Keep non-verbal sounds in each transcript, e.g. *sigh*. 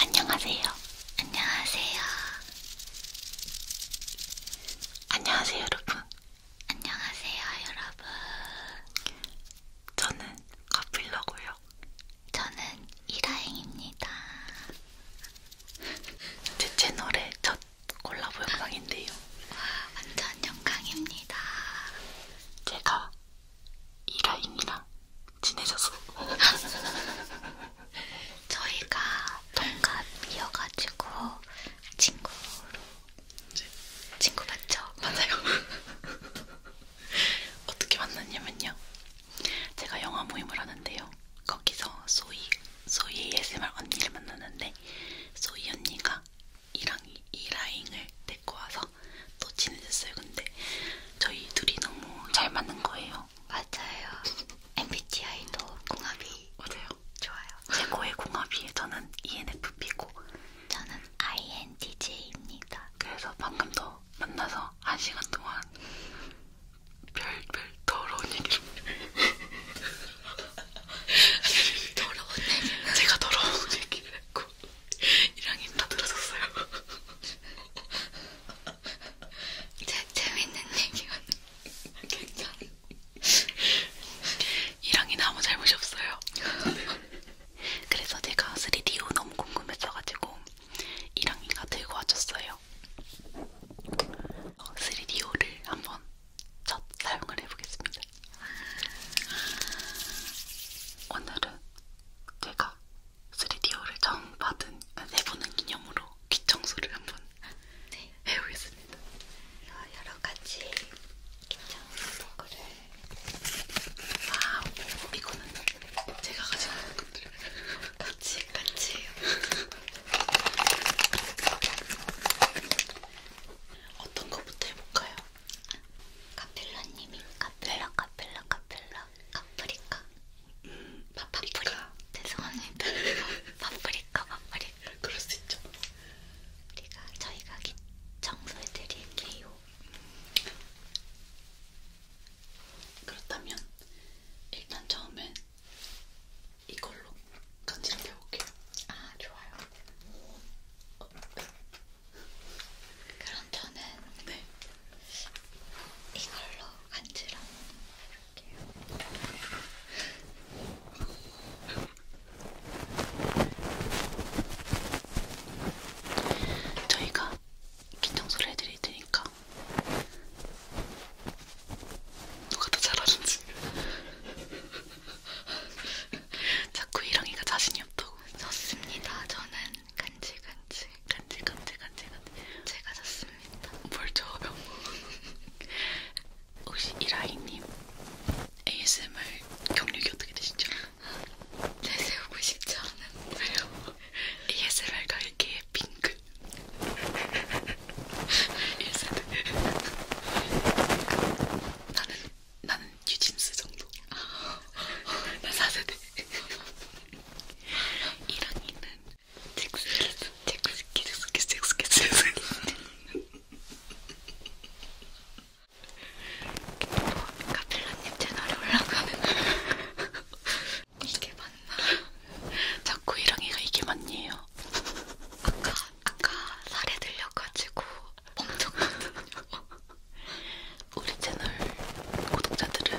안녕하세요. 안녕하세요. 안녕하세요, 여러분. 안녕하세요, 여러분. 저는 커플러고요. 저는 이라행입니다. 제 채널의 첫 콜라보 영상인데요. 와, 완전 영광입니다. 제가 이라인이랑 친해졌어. *laughs* 저희가 동갑이어가지고 친구로 친구 맞죠? 맞아요. *laughs* 어떻게 만났냐면요. 제가 영화 모임을 하는데요. 거기서 소희, 소희 ASMR 언니를 만났는데 소희 언니가 이랑, 이라잉을 데리고 와서 또 친해졌어요. 근데 저희 둘이 너무 잘 맞는 거예요. 맞아요. MBTI도 궁합이 맞아요. 좋아요. 최고의 궁합이에요. 저는 ENFP고 저는 INTJ입니다. 그래서 방금 더 만나서 한 시간 동안 별별 더러운 얘기를 *laughs* 더러운 얘기 제가 더러운 얘기를 했고 이랑이 다 들어줬어요. 재, *laughs* 재밌는 얘기가 괜찮아. 이랑이 아무 잘못이 없어요. *laughs* 그래서 제가 3D오 너무 궁금했어가지고 이랑이가 들고 와줬어요. 3D오를 어, 한번 첫 사용을 해보겠습니다. 오늘은 제가 3DO를 처음 받은 세보는 아, 기념으로 귀 청소를 한번 네. 해보겠습니다. 여러 가지 귀 청소 도구를 와우 이거는 제가 가지고 있는 것들 같이 같이 어떤 거부터 해볼까요? 카필라님이 카필라 네. 카필라 카필라 파프리카 음, 파프리카 죄송합니다 *laughs* 파프리카 파프리카 그럴 수 있죠 우리가 저희가 청소해 드릴게요 그렇다면 일단 처음엔 이걸로 간지럽혀 볼게요 아 좋아요 어, 네. 그럼 그럼 저는 네. 이걸로 간지러 볼게요. 저희가 기청소를 해드릴 테니까 누가 더 잘하는지 자꾸 이랑이가 자신이 없다고 좋습니다 저는 간질간질 간질간질간질간질 제가 샀습니다. 뭘 줘요? *laughs* 혹시 이라이님 ASMR 경력이 어떻게 되시죠? 내세우고 싶지 않은데요. ASMR 가게의 빙글. ASMR. 나는 나는 유진스 정도. *laughs* 나 4세대. 이랑이는 잭스키스 잭스키스 잭스키스 잭스키스 카펠라님 채널에 올라가는 *laughs* 이게 맞나? 자꾸 이랑이가 이게 맞니에요? 아까 아까 살에 들려가지고 멍청거든요. *laughs* 우리 채널 구독자들은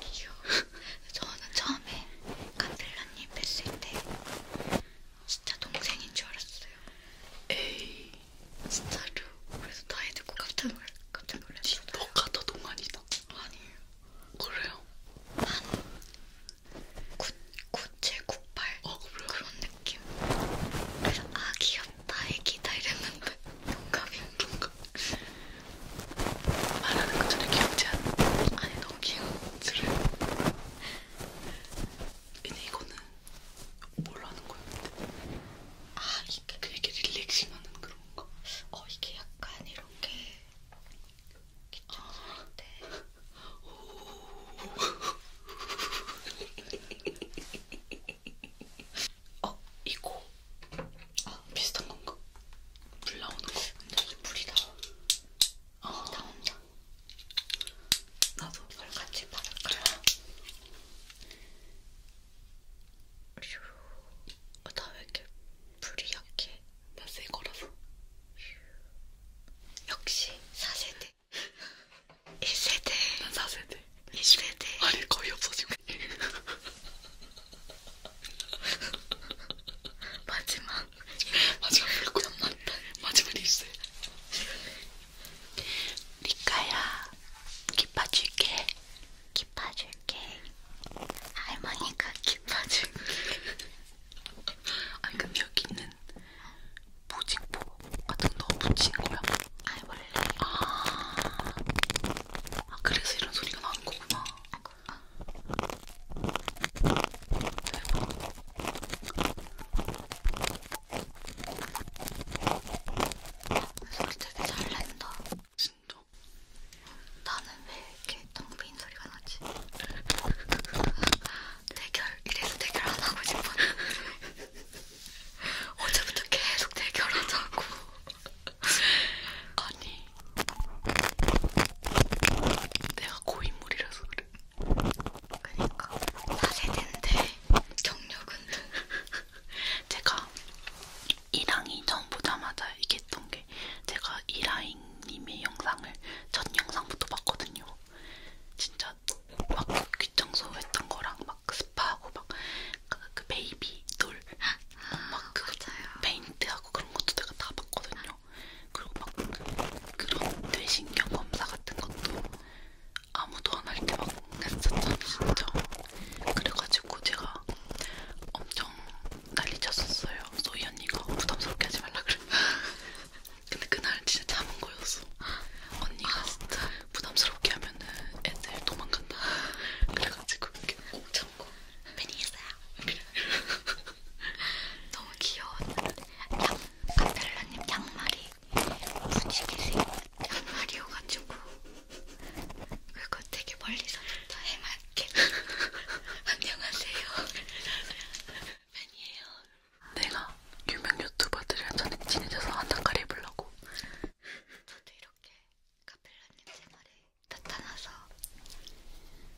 귀여워. 저는 처음에 칸델라님 뵀을 때 진짜 동생인 줄 알았어요. 에이, 진짜로. 그래서 다 해듣고 깜짝 놀랐, 깜짝 놀랐어요. 너가 더 동안이다. 아니에요. 그래요? 한 9, 9 798 어, 그래? 그런 느낌 그래서 아 귀엽다 애기다 이랬는데 동갑이 동갑 말하는 것 전에 귀엽지 않아? 아니 너무 귀여워 그래? 근데 이거는 뭘로 하는 거였는데? 아 이게 그냥 이렇게 릴렉싱 하는 그런 거? 어 이게 약간 이렇게 기침할 때 아. 네. *laughs* 오 어, 이거. 아, 비슷한 건가? 물 나오는 거. 근데 이게 물이 나와. 어, 나 혼자. 나도 이걸 같이 바를까요? 휴. 어, 나왜 이렇게 불이 약해? 나새 거라서. 휴. 역시 사세대 세대 1세대 난 4세대 2세대 아니 거의 없어지고 *laughs* 마지막 마지막 잠만 마지막 1세 니까야 기빠줄게 기빠줄게 할머니가 기빠줄게 아니 근데 여기 있는 얘는 보직포 같은 거 넣어 붙인 거야? 아니 원래 아, 아 그래서 이런 소리가 나는 거구나 아이고, 아. 대박 소리 되게 잘 낸다 진짜? 나는 왜 이렇게 텅빈 소리가 나지? 대결 이래서 대결 안 하고 싶었는데 *laughs* 어제부터 계속 대결하자고. 아니, 내가 고인물이라서 그래. 그니까, 4세대인데, 경력은. 제가 1항이 처음 보자마자 얘기했던 게, 제가 1항님의 영상을 첫 영상부터 봤거든요. 진짜 막 귀청소 했던 거랑 막막 스파하고 막그 그 베이비 돌, 막그 아, 페인트하고 그런 것도 내가 다 봤거든요. 그리고 막 그런 뇌신경 검사 같은 것도 아무도 안 할 때막 했었잖아, 진짜. 그래가지고 제가 엄청 난리쳤었어요. 소희 언니가 부담스럽게 하지 말라 그래. *laughs* 근데 그날 진짜 참은 거였어. 언니가 아, 진짜 부담스럽게 하면은 애들 도망간다. 그래가지고 이렇게 꼭 참고 팬이었어요. *laughs* 너무 귀여운 양, 아펠라님 양말이 무지개 색 양말이어가지고 그거 되게 멀리서부터 해맑게 *laughs* 안녕하세요 팬이에요 내가 유명 유튜버들이랑 저는 친해져서 한단가리 해보려고 저도 이렇게 카펠라님 생활에 나타나서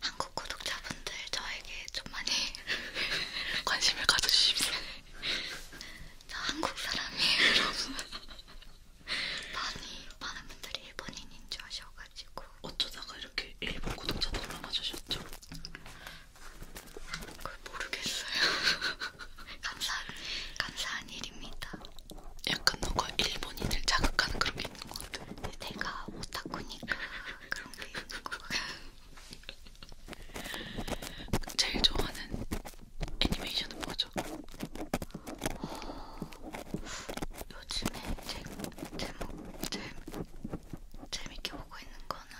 한국 구독자분들 저에게 좀 많이 *laughs* 관심을 가져주십시오 저 한국 사람이에요 여러분 많이 많은 분들이 일본인인 줄 아셔가지고 어쩌다가 이렇게 일본 구독자들로 남아주셨죠? 그걸 모르겠어요. *laughs* 감사 감사한 일입니다. 약간 뭔가 일본인을 자극하는 그런 게 있는 것 같아. 내가 오타쿠니까 그런 게 있는 것 같아. 제일 좋아하는 애니메이션은 뭐죠? 어, 요즘에 제, 제목, 제, 재밌게 보고 있는 거는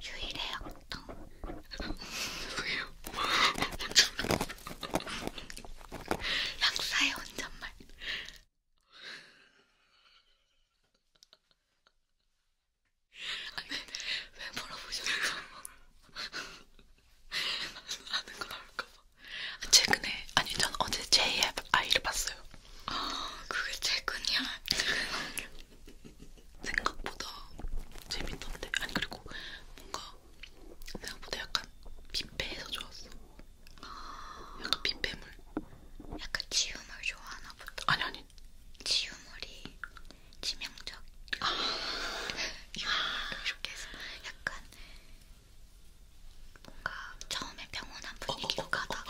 유일의 악동 왜요? 약사의 혼잣말 아니 왜, 왜 물어보셨죠? 아는 거 나올까봐 아, 최근에 아니 전 어제 JFI를 봤어요 아 그게 최근이야? 생각보다 재밌던데. 아니 그리고 뭔가 생각보다 약간 빈배해서 좋았어. 약간 빈배물. 약간 지우물 좋아하나 보다. 아니 아니. 지우물이 치명적. 아. *laughs* 이렇게 해서 약간 뭔가 처음에 평온한 분위기로 어, 어, 어, 어. 가다가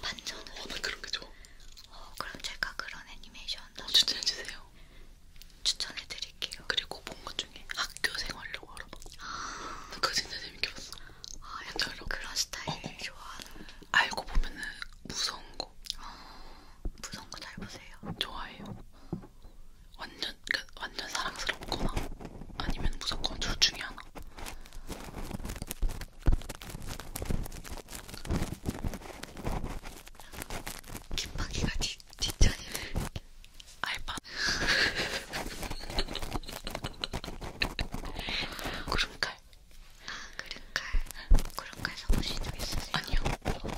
반전을. 어, 나 그런 게 좋아. 어, 그럼 제가 그런 애니메이션 어, 추천해주세요. 추천해드릴게요. 그리고 본 것 중에 학교 생활로 알아봤어. 아, 그거 진짜 재밌게 봤어. 아, 약간 그런 스타일 어, 어. 좋아하는. 알고 보면은 무서운 거. 어, 무서운 거 잘 보세요. 좋아해요. 완전 그러니까 완전 사랑스럽거나 아니면 무조건 둘 중에 하나. 김방이가 뒷자리를 알바 *laughs* 아, 구름칼 구름칼 구름칼 써보신 적 있으세요? 아니요 오,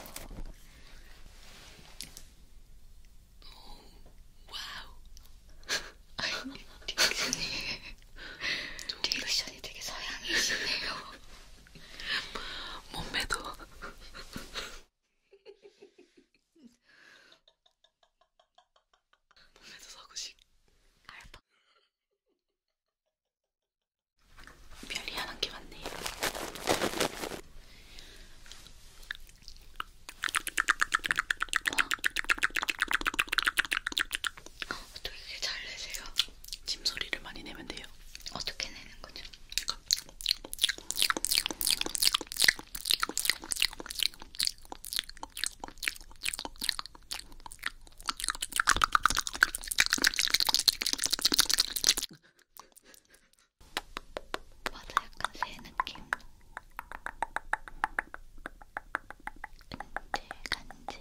와우 아니, 딕슨이 리액션이 되게 서양이시네요 몸매도 몸매도 서구식 알파 별이한 게 많네 와 어? 어떻게 잘 내세요? 침소리를 많이 내면 돼요. 어떻게 내는 거죠? 맞아, 약간 새 느낌. 근질간질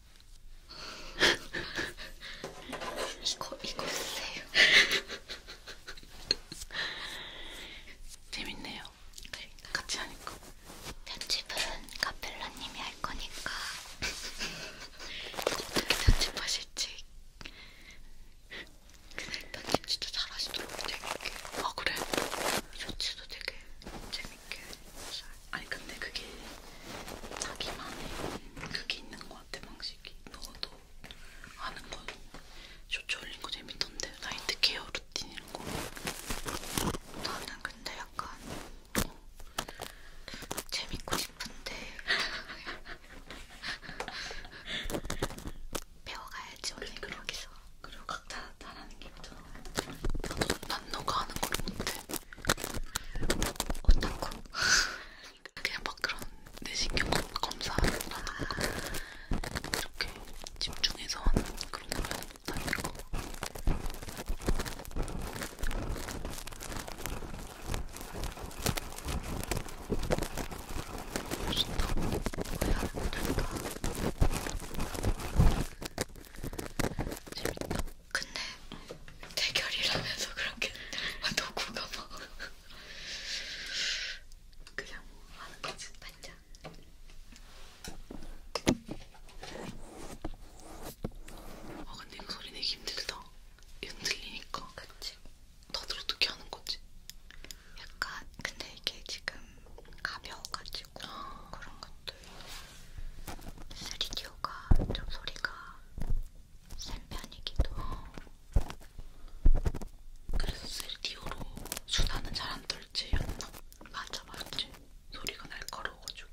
이거 이거 쓰세요. 재밌네요. 그러니까. 같이 하니까. 편집은 카펠라님이 할 거니까 어떻게 *laughs* 편집하실지. 근데 편집 진짜 잘하시더라고 재밌게. 아 그래? 쇼츠도 되게 재밌게. 이렇게 아니 근데 그게 자기만의 그게 있는 것 같아 방식이 너도 아는 거 쇼츠 올린 거 재밌던데 나이트 케어 루틴 이런 거 나는 근데 약간 어, 재밌고 싶은데 *laughs* 배워가야지 원래 그러기서 그러니까. 그리고 그러니까. 각자 다라는 게 있잖아 나도 난 너가 하는 걸 못해 어떻고 그냥 막 그런 내신경 검사하는 거 이렇게 집중해서 하는 그런 거랑 다른 거 좋다고 해야 될까 재밌다 근데 대결이라면서 그렇게 누구가 아, 막 그냥 뭐 하는 거지 맞냐? 아 근데 이거 소리 내기 힘들다. 이건 들리니까. 그치. 다들 어떻게 하는 거지? 약간 근데 이게 지금 가벼워가지고 아. 그런 것 스리디오가 좀 소리가 센 편이기도 그래서 스리디오로 수다는 잘안 떨지 않나? 맞아 맞지 소리가 날카로워가지고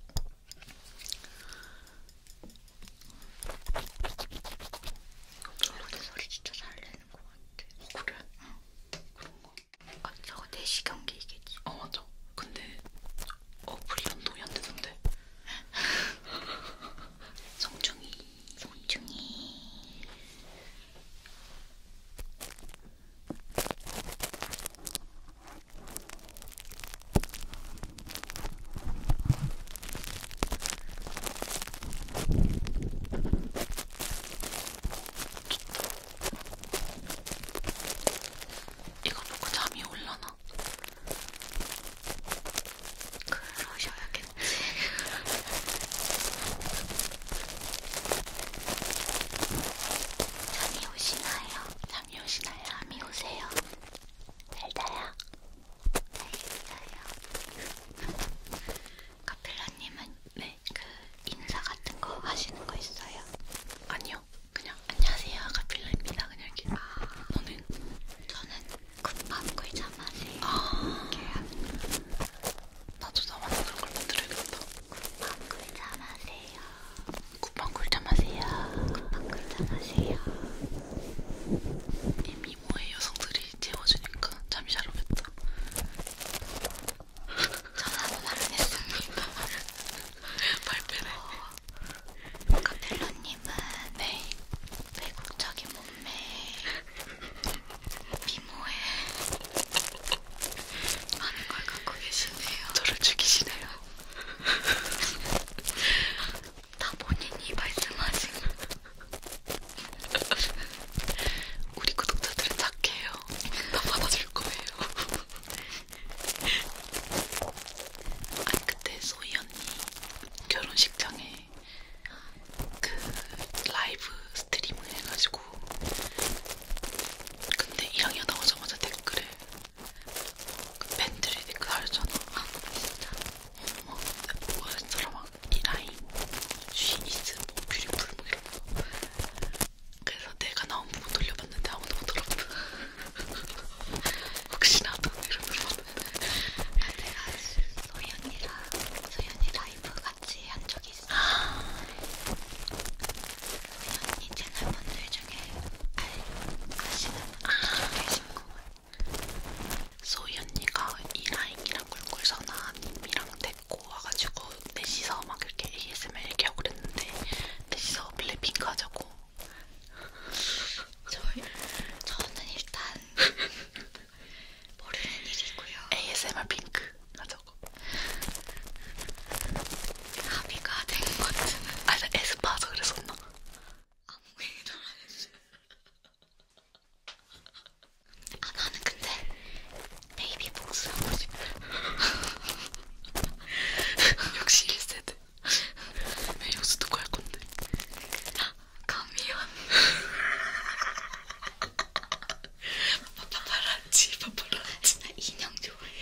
저렇게 소리 진짜 잘 내는 것 같아 어, 그래? 응. 그런 거? 아 저거 내시경기이겠지? 어 맞아 근데 어플이 연동이 안 되던데. 성충이, *laughs* 성충이. 이거 보고 잠이 올라나? 그러셔야겠지. 잠이 오시나요? 잠이 오시나요? 잠이 오세요. 달달야. 알겠어요. 카펠라님은 네. 그 인사 같은 거 하시는 거 있어요? 아니요. 그냥 안녕하세요 가필라입니다 그냥 이렇게 아, 너는? 저는 국밥 꿀잠 마세요 아, 이렇게 나도 나만의 그런 걸 만들어야겠다 국밥 꿀잠 마세요 국밥 꿀잠 마세요 국밥 꿀잠 마세요 이 미모의 여성들이 재워주니까 잠이 잘 오겠다 저는 아무 말을 했습니다 발표네 어, 카펠로님은 네. 외국적인 몸매, 미모에 많은 걸 갖고 계시네요. 저를 죽이시네요. *laughs* 다 본인이 말씀하신. 우리 구독자들은 착해요. 다 받아줄 거예요. *laughs* 아니 그때 소희 언니 결혼식장에 그 라이브 스트리밍 해가지고 근데 1학년 나오자마자 댓글에 그 팬들이 댓글 달잖아 진짜 어머 뭐야 사람아 이 라인 쉬 이즈 뭐 뷰리풀 뭐 이런 거 그래서 내가 나온 부분 돌려봤는데 아무도 못 돌아봤다 혹시나 돈으로 내가 소연이랑 소연이 라이브 같이 한 적이 있어. 아. 소연이 채널 분들 중에 알, 아시는 분들 계신 아. 것 같아. 소연이가 이라인이랑 꿀꿀선아님이랑 데리고 와가지고 넷이서 막 이렇게 ASMR 이렇게 하고 그랬는데 넷이서 블랙핑크 하자고 저, 저는 일단 모르는 일이고요. ASMR 핑크 아 저거. 합의가 된 것 같은. 아, 나 에스파서 그랬었나? 아무 얘기도 안 했어. 아 나는 근데 베이비 복수 하고 싶어. 역시 1세대. 왜 여기서 듣고 할 건데? 감이요. 파파라치, 파파라치. 나 인형 좋아해.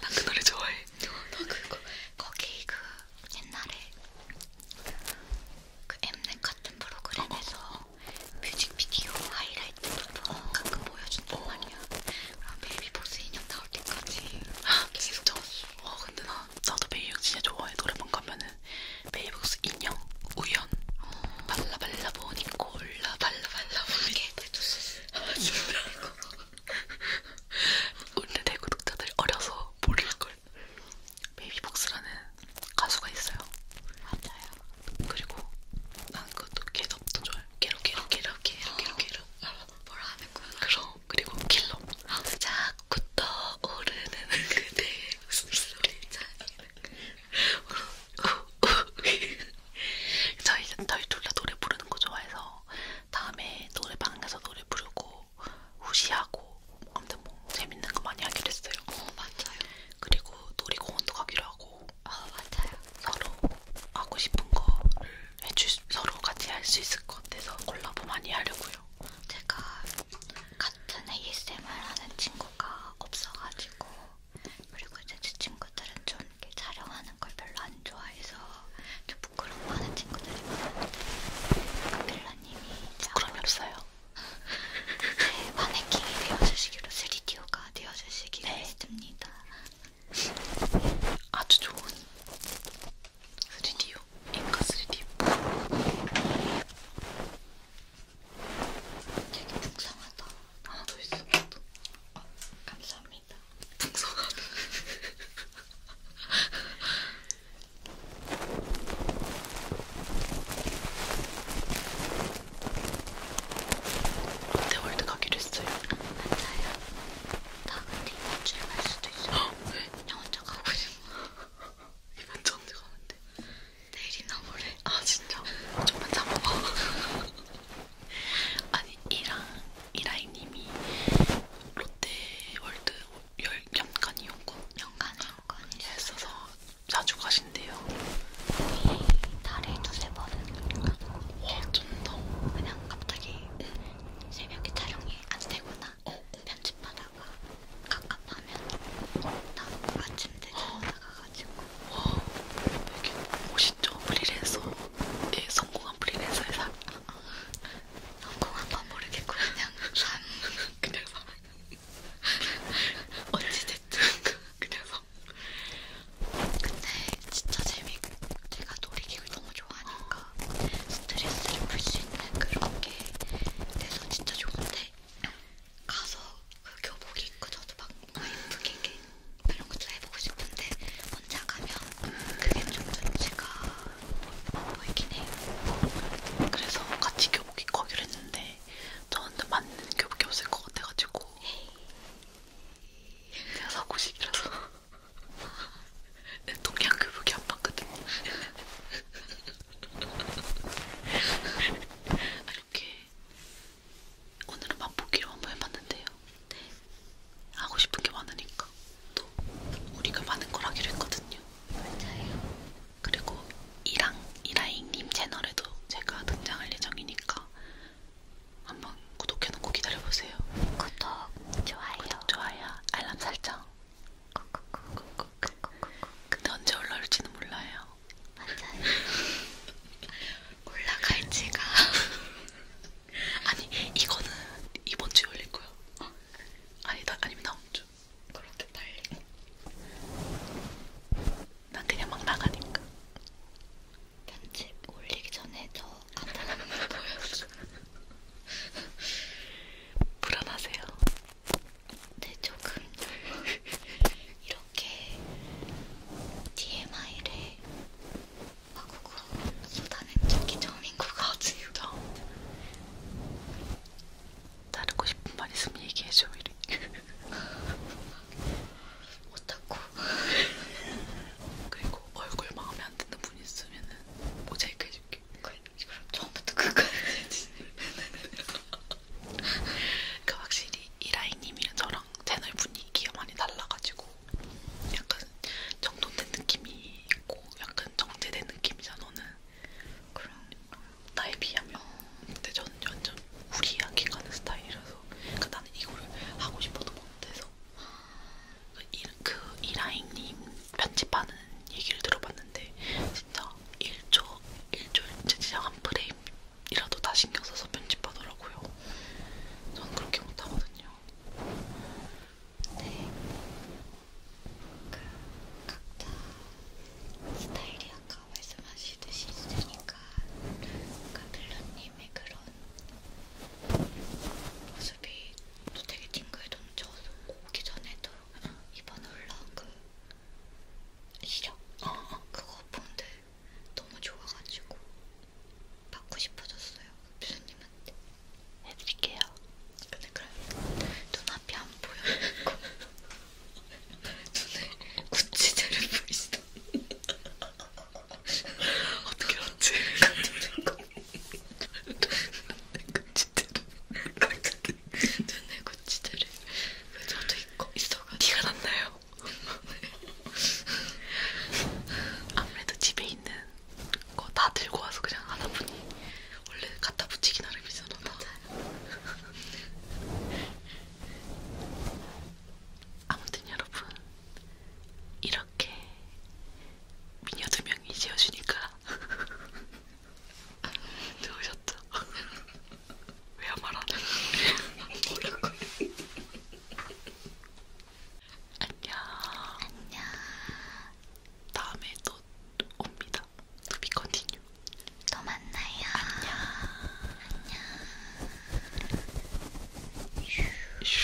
난 그 노래 좋아해. 나 그거 거기 그 옛날에 그 엠넷 같은 프로그램에서 어. 어, 어. 뮤직비디오 하이라이트 같은 거 어, 가끔 보여준단 말이야. 그럼 베이비보스 인형 다 어디까지 계속 쳤어. 어 근데 나 나도 베이북 진짜 좋아해. 노래방 가면은 베이북스 인형, 우연, 발라 발라 보니 콜라 발라 발라 보니 개대주스. 원래 내 구독자들이 어려서 모를 걸. 베이비복스라는 가수가 있어요. 맞아요. 그리고 난 그것도 개덥도 좋아요. 개로 개로 개로 개로 개로 개로. 뭐라는구나. 그럼 그리고 킬러. 자꾸 떠오르는 그대의 웃음소리. 저희 저희 둘 다 노래 부르는 거 좋아해서 다음에 노래방에서 노래 부르고 후시하고 아무튼 뭐 재밌는 거 많이 하기로 했어요. 어 맞아요. 그리고 놀이공원도 가기로 하고. 아 어, 맞아요. 서로 하고 싶은 거를 해줄 서로 같이 할 수 있을 것 같아서 콜라보 많이 하려고요. 제가 같은 ASMR 하는 친구가 없어가지고 그리고 이제 제 친구들은 좀 이렇게 촬영하는 걸 별로 안 좋아해서 좀 부끄러워하는 친구들이 많은데 빌라님이 부끄러움이 없어요. 제 마네킹이 되어주시기로 3D오가 되어주시기로 네. 했습니다. 아주 좋은 3D요. 인가 3D. 되게 풍성하다. 하나 더 있어. 또. 어, 아, 감사합니다. 풍성하다. 롯데월드 *laughs* 가기로 했어요. 맞아요. 나근데 이번 주에 갈 수도 있어. 왜? 그냥 혼자 가버리면. 이번 주 언제 가는데? 내일이나 모레. 아 진짜? 좀만 참아봐. 아니 이랑 이라이님이 롯데월드 열 연간 이용권 연간 이용권이 있어서 자주 가신대요. 거의 달에 두세 번은 가는 거. 와 쩐다. 그냥 갑자기. 응. 새벽에 촬영이 안 되거나 편집하다가 어. 갑갑하면 나 아침 대전 나가가지고 와 되게 멋있죠? 프리랜서 예, 성공한 프리랜서 회사 아, 성공한 건 모르겠고 그냥 *laughs* 산 그냥 산 *laughs* 어찌됐든 *laughs* 그냥 산 근데 진짜 재밌고 제가 놀이기구 너무 좋아하니까 스트레스를 풀 수 있는 그런 게 돼서 진짜 좋은데 가서 그 교복 입고 저도 막 예쁘게 이런 것도 해보고 싶은데 혼자 가면 그게 좀 눈치가 보이긴 해요. 그래서 같이 교복 입고 하기로 했는데 저한테 맞는 교복이 없을 것 같아가지고 제가 사고 싶이라서 동양교복이 안 맞거든요. 아, 이렇게 오늘은 맛보기로 한번 해봤는데요. 네. 하고 싶은 게 많으니까 또 우리가 많은 걸 하기로 했거든요. 맞아요. 그리고 이랑 이라잉님 채널에도 제가 등장할 예정이니까 한번 구독해놓고 기다려보세요. 구독, 좋아요. 구독, 좋아요. 알람 설정. 근데 언제 올라올지는 몰라요. 맞아요. 올라갈지가. *laughs* 아니 이거는 이번 주에 올릴 거야. 어? 아니 나 아니면 다음 주. 그렇게 빨리? 난 그냥 막 나가니까. 편집 올리기 전에 저 간단한 걸 보여줘. 불안하세요? 네, 조금. 이렇게 DMI를 마구구 쏟아낸 적이 처음인 것 같아요. 다루고 싶은 말 있으면 얘기해줘, 이래. *laughs* 오타쿠. 그리고 얼굴 마음에 안 드는 분 있으면 모자이크 해줄게. 그래. 그러니까 그럼 처음부터 끝까지. 그러니까 확실히 이라인님이랑 저랑 채널 분위기가 많이 달라가지고 약간 정돈된 느낌이 있고 약간 정제된 느낌이잖아 너는. 그럼 그러니까. 나에 비하면. 어. 근데 저는 완전 우리 이야기 가는 스타일이라서. 그러니까 나는 이거를 하고 싶어도 못해서. 아. 그 이라잉님 편집하는 얘기를 들어봤는데 진짜 1초 1초 진짜 한 프레임이라도 다 신경 써서 편집하더라고요. 저는 그렇게 못하거든요. 네, 그 각자 스타일이 아까 말씀하시듯이 있으니까, 그러니까 빌런님의 그런 모습 모습이 또 되게 팅글동쳐서 오기 전에도 이번에 올라온 그 시력 어, 어. 그거 본데 너무 좋아가지고 받고 싶어졌어요 교수님한테 해드릴게요 근데 그래 눈앞이 안 보여가지고 *laughs* 눈에 구찌제를 보이시던 어떻게 어찌 같은 거 고치대를 전에 고치대를 저도 있고 있어가지고 티가 났나요? 아무래도 집에 있는 거 다 들고 와서 그냥 하다 보니 원래 갖다 붙이기 나름이잖아. 아무튼 여러분 이렇게 미녀 두 명이 지어주니까 좋으셨죠? *laughs* *laughs* 왜 안 말하는 뭐라고? *laughs* 안녕. 안녕. 다음에 또 옵니다. To be continue. 또 만나요. 안녕. 안녕. 슈. 슈.